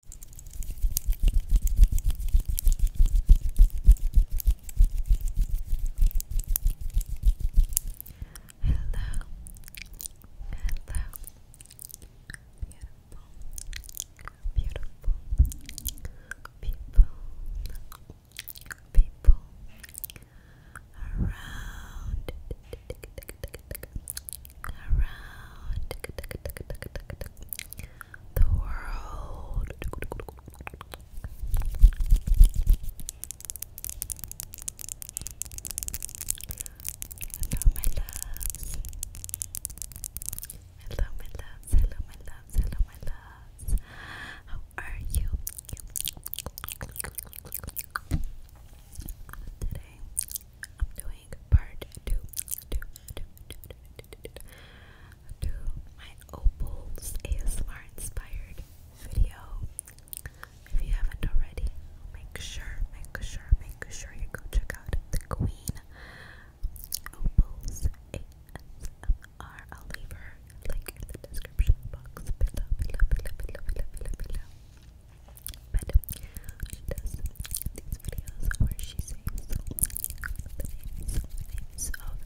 Hello, hello, beautiful, beautiful people, people around around the world. Hello, my loves. Hello, my loves. Hello, my loves. Hello, my loves. How are you? Today, I'm doing part two, two, two, two, two, two, two, two, two my Opals ASMR inspired video. If you haven't already, make sure, make sure, make sure you go check out the Queen Opals ASMR. I'll leave her link in the description box below, below, below, below, below, below. below but she does these videos where she sings the names, of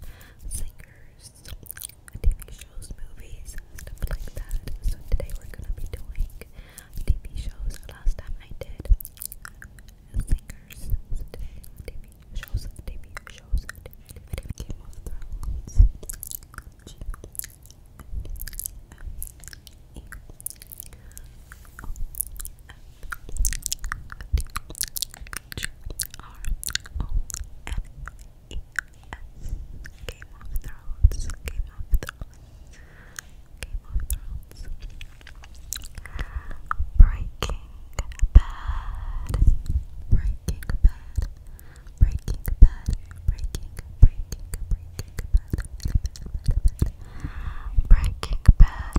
singers, TV shows, movies, stuff like that. So today we're gonna be doing TV shows. Last time I did singers. today TV shows, TV shows, Game of Thrones. Thrones, Game of Thrones, Game of Thrones, Breaking Bad, Breaking Bad, Breaking Bad, Breaking, Breaking, Breaking breaking bad,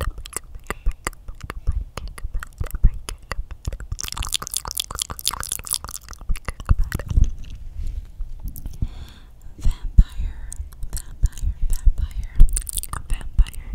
Vampire, vampire, vampire, vampire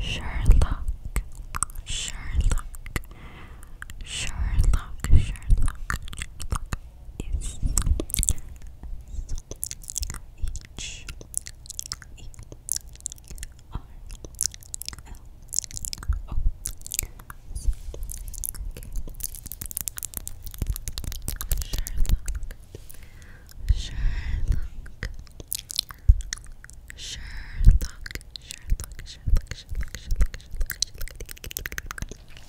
Sherlock, Sherlock, Sherlock, Sherlock, Sherlock, is H E R L O. Sherlock. Sherlock. Sherlock. Sherlock. Sherlock. Sherlock. Sherlock.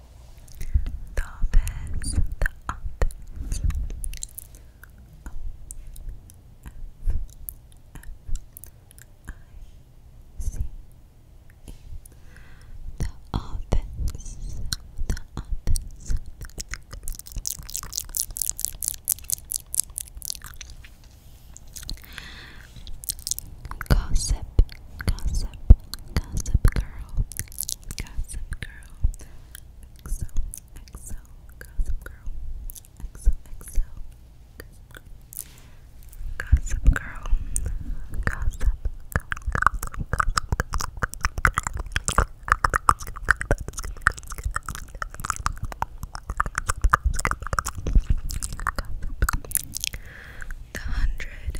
The office, the office. O F F I C E. The office, the office. Gossip, gossip, gossip girl, Gossip Girl, XO, XO, Gossip Girl, XO, XO, Gossip Girl, Gossip Girl, Gossip, Gossip, Gossip, the hundred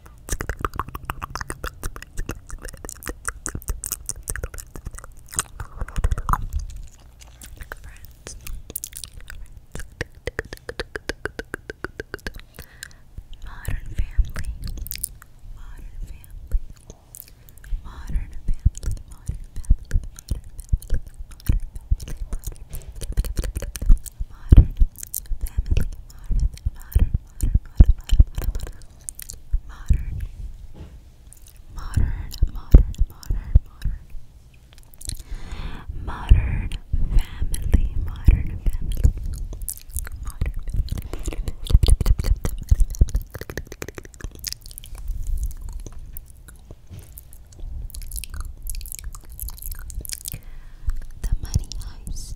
Friends. Modern family. Modern family. Modern family. Modern family. Modern family. Modern family. Modern family. Modern Modern modern modern modern modern, modern, modern, modern, modern, modern family, modern family, The money heist.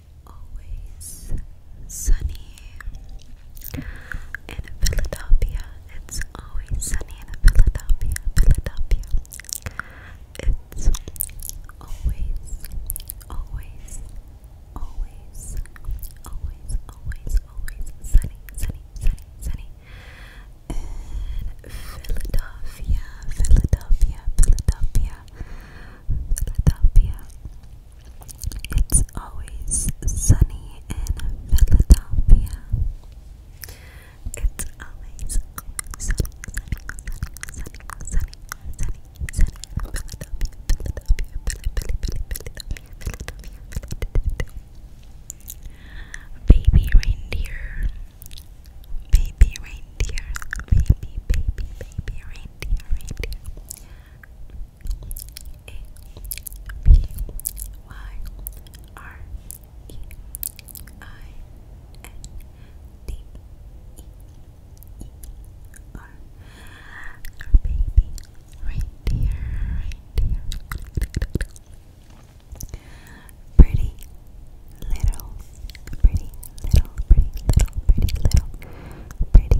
always sunny in Philadelphia. It's always sunny in Philadelphia. Philadelphia. It's always, always, always, always, always, always sunny, sunny, sunny, sunny. In Philadelphia, Philadelphia, Philadelphia. Philadelphia. It's always sunny in Philadelphia. It's always sunny, sunny, sunny, sunny, sunny, sunny, sunny. Philadelphia, Philadelphia, Philadelphia, Philadelphia, Philadelphia, Philadelphia. Baby reindeer, baby reindeer, baby, baby, baby reindeer, reindeer. A B Y R E I N D E E R Your baby right there, Pretty little, pretty little, pretty little, pretty little, pretty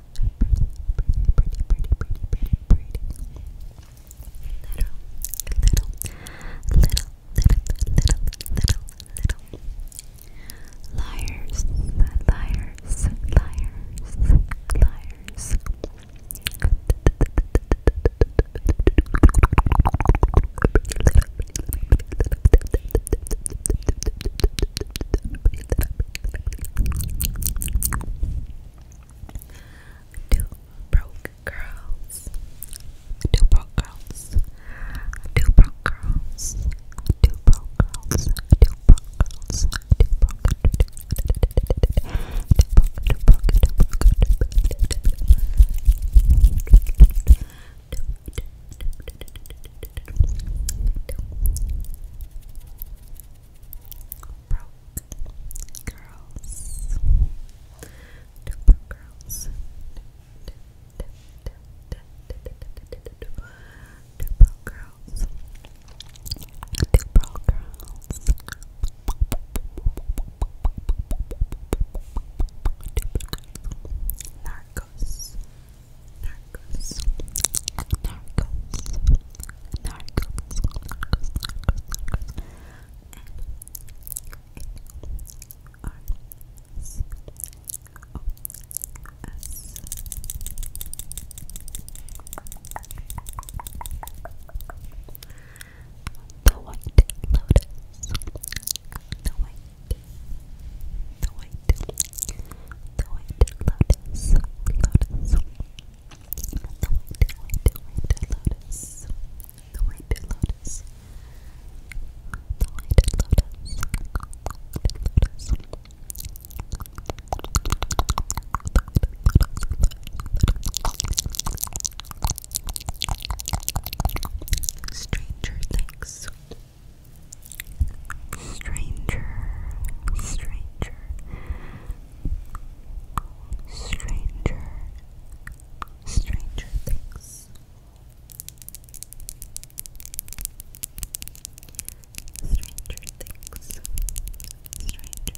pretty, pretty, pretty, pretty, pretty, pretty, pretty. Little, little, little, little, little, little, little. Liars, liars, liars, liars. Two broke girls. Two broke girls. Two broke girls. Two broke girls. Two broke girls. Two broke. Two broke. Two broke. Two broke girls. Duper girls. Duper girls. Duper girls. Narcos. Narcos. Narcos. Narcos, Narcos, Narcos, Narcos, and A R C O S. The White Lotus, the White, the White, the White Lotus, Lotus. The White Lotus. The White Lotus. The White Lotus. Stranger Things. Stranger, stranger, Stranger, Stranger Things, Stranger Things, Stranger Things,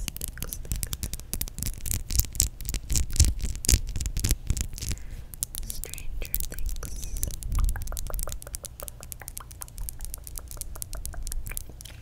Stranger Things.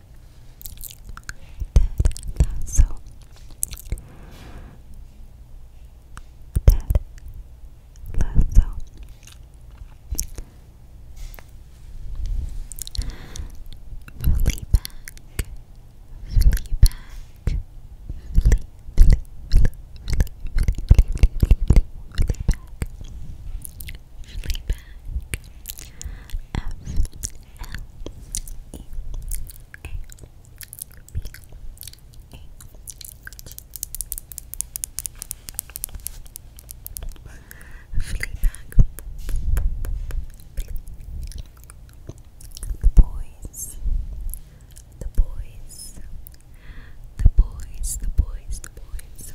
Ted Lasso Ted Lasso Fleabag Fleabag Fleabag Fleabag Fleabag F Fleabag The boys The boys The boys The boys The boys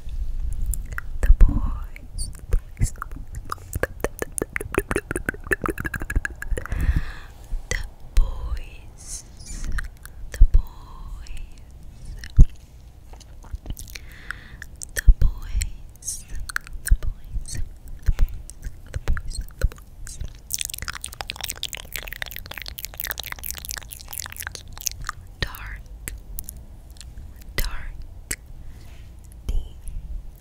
The boys The boys the boys, the boys, the boys, the boys, the boys, the boys, Dark, dark, D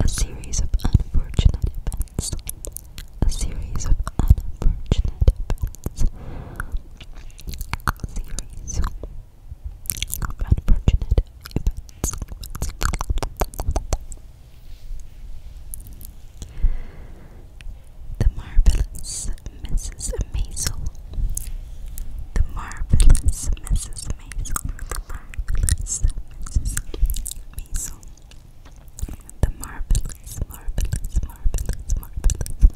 A series of unfortunate events. A series of unfortunate events. series unfortunate events. The marvelous Mrs. Maisel. The marvelous Mrs marvelous, Maisel. The marvelous, marvelous, marvelous, marvelous,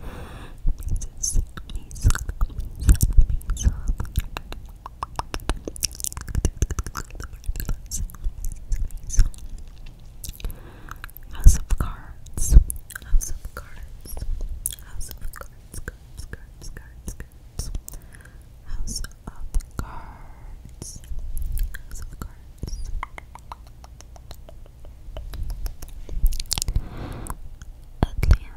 Maisel, Maisel, Maisel. House of Cards, House of Cards, House of Cards, Cards, Cards, Cards, Cards. House of Cards. House of Cards. Atlanta. Atlanta. Atlanta.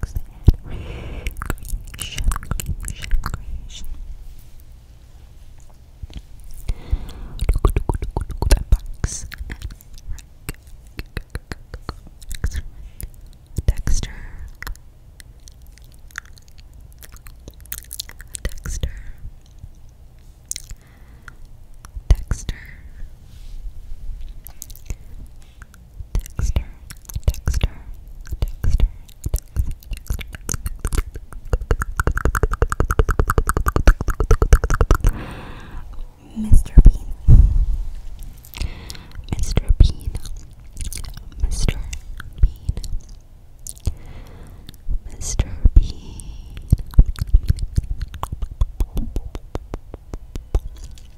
things and creation, creation, creation. The box Dexter. Dexter. Dexter. Mr. Bean, Mr. Bean, Mr. Bean, Mr. Bean.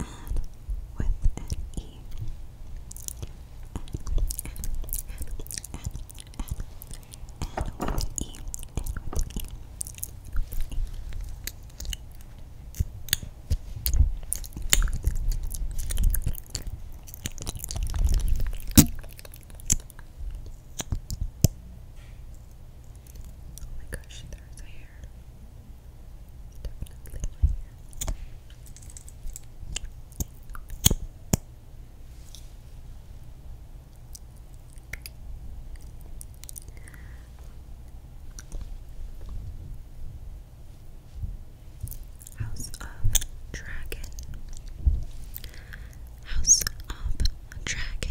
Anne with an E. with an E. Oh gosh, there's a hair. Definitely my House of Dragon. House of Dragon.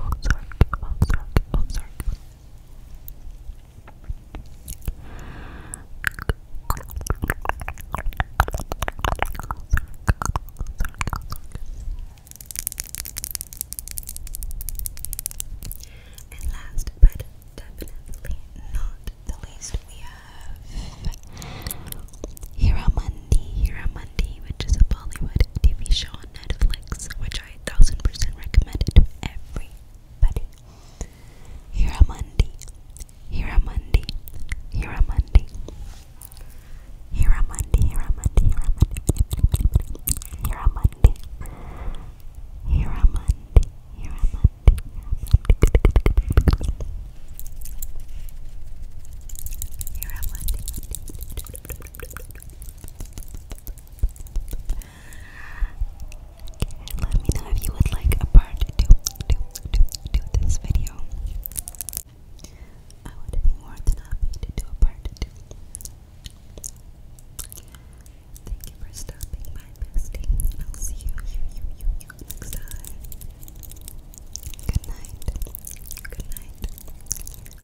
Ozark, Ozark, And last but definitely not the least, we have Hero Monday, Hero Monday, which is a Bollywood TV show on Netflix, which which a thousand percent recommend it to everybody. Hiramundi, Hiramundi, Hiramundi, Hiramundi, Hiramundi, Hiramundi, Hiramundi, Hiramundi, Hiramundi, Hiramundi, let me know if you would like a part to do, this video. I would be more than happy to do a part Thank you for stopping by, bestie. I'll see you next time. Good night. Good night.